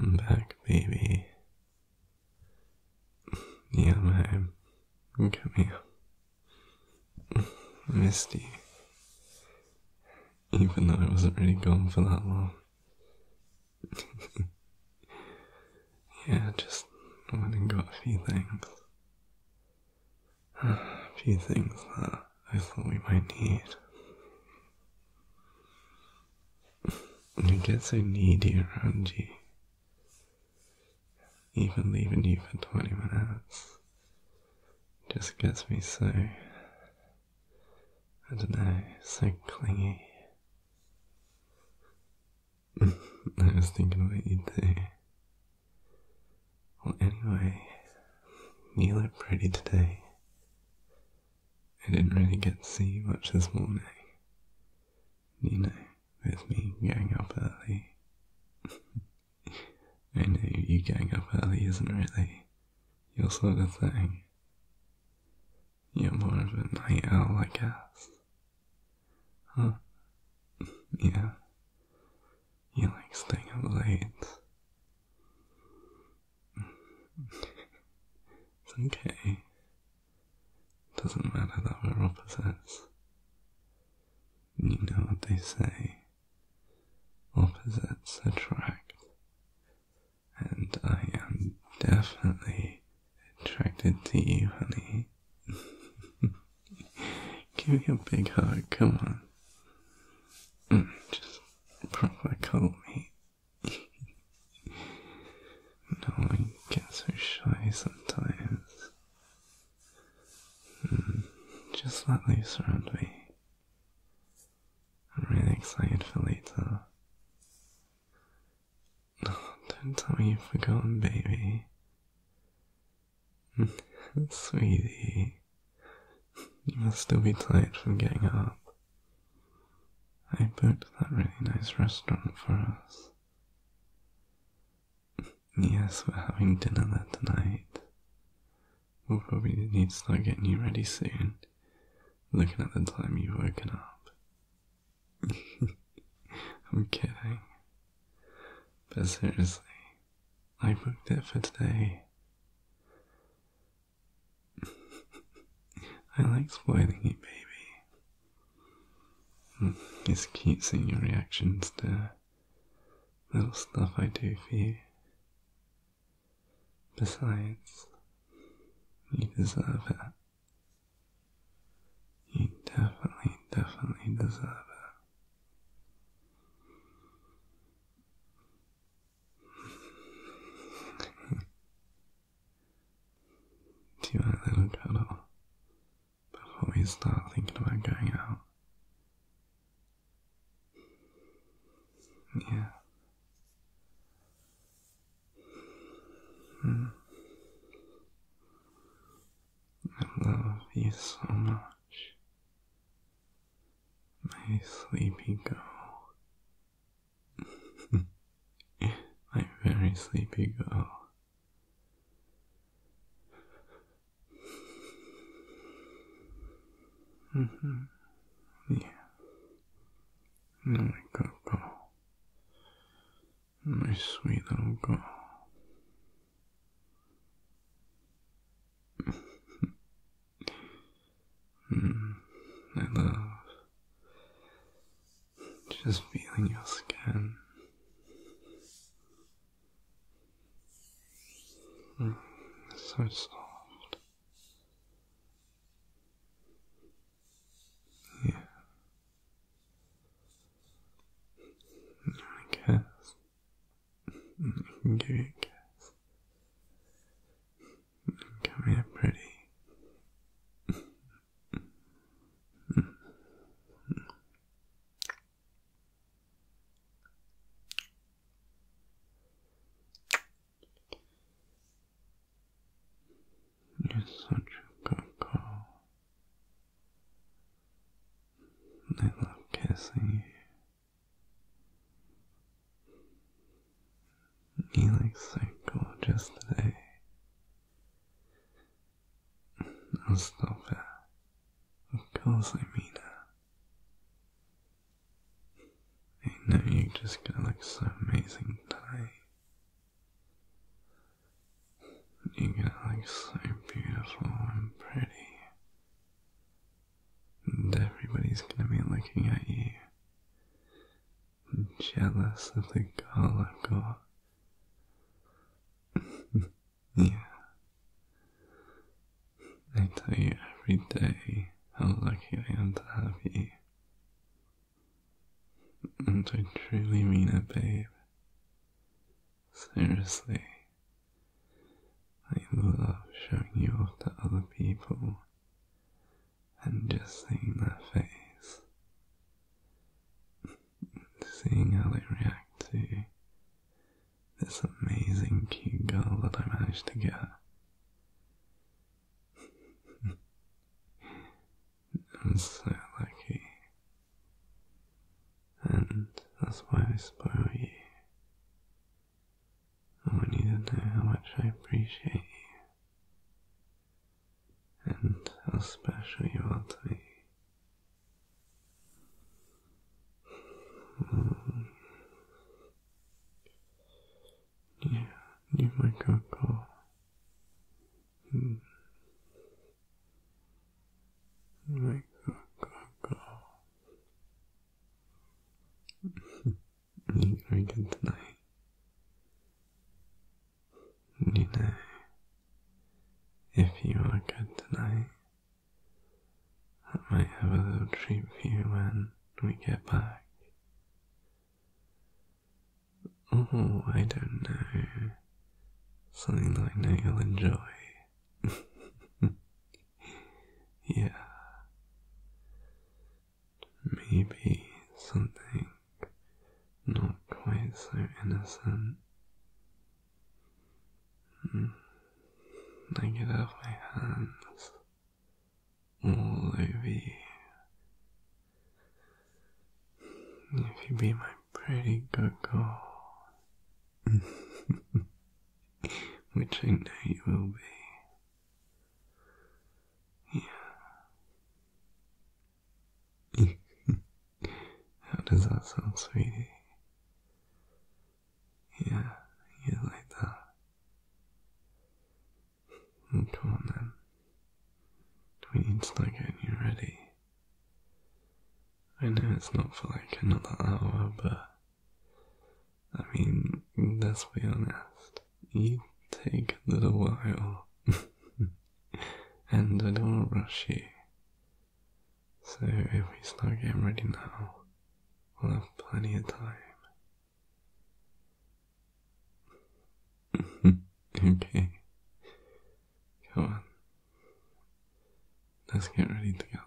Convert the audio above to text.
I'm back, baby. Yeah, man. Come here. I missed Even though I wasn't really gone for that long. Yeah, just went and got a few things. A few things that I thought we might need. You get so needy around you. Even leaving you for 20 minutes just gets me so, I don't know, so clingy. I was thinking about you too. Well, anyway, you look pretty today. I didn't really get to see much this morning. You know, with me getting up early. I know you getting up early isn't really your sort of thing. You're more of a night owl, I guess. Huh. Yeah. You like staying up late. it's okay. Doesn't matter that we're opposites. You know what they say. Opposites attract and I am definitely attracted to you, honey. Give me a big hug, come on. Mm, just proper call me. no, I get so shy sometimes. Mm, just let loose around me. I'm really excited for later. don't tell me you've forgotten, baby. Sweetie, you must still be tired from getting up. I booked that really nice restaurant for us. Yes, we're having dinner there tonight. We'll probably need to start getting you ready soon looking at the time you've woken up. I'm kidding. But seriously, I booked it for today. I like spoiling you, baby. Just mm, keep seeing your reactions to little stuff I do for you. Besides, you deserve it. You definitely, definitely deserve it. Do you want a little cuddle before we start thinking about going out? Yeah. Hmm. I love you so much, my sleepy girl. my very sleepy girl. Mm -hmm. Yeah. My Coco. My sweet little girl. I love just feeling your skin Mm, so soft. Yeah. I guess I can give you a pretty. You're such a good girl. I love kissing you. You like psycho just today. No, stop it. Of course I mean it. I know you're just gonna look so amazing today. You're gonna look so beautiful and pretty. And everybody's gonna be looking at you. Jealous of the girl I've got. Yeah. I tell you every day how lucky I am to have you. And I truly mean it, babe. Seriously. I love showing you off to other people and just seeing their face seeing how they react to this amazing cute girl that I managed to get. I'm so lucky. And that's why I spoil you. I want you to know how much I appreciate you. And how special you are to me. Yeah, you might go call. Hmm. Like go go go. you gonna get tonight? You know, if you are good tonight, I might have a little treat for you when we get back. Oh, I don't know. Something that I know you'll enjoy. yeah. Maybe something not quite so innocent. I could have my hands all over you. If you be my pretty girl, which I know you will be. Yeah. How does that sound, sweetie? Yeah, you like that. Mm, come on then. We need to start getting you ready. I know it's not for like another hour, but I mean, let's be honest. It takes a little while, and I don't want to rush you. So if we start getting ready now, we'll have plenty of time. okay, come on, let's get ready together.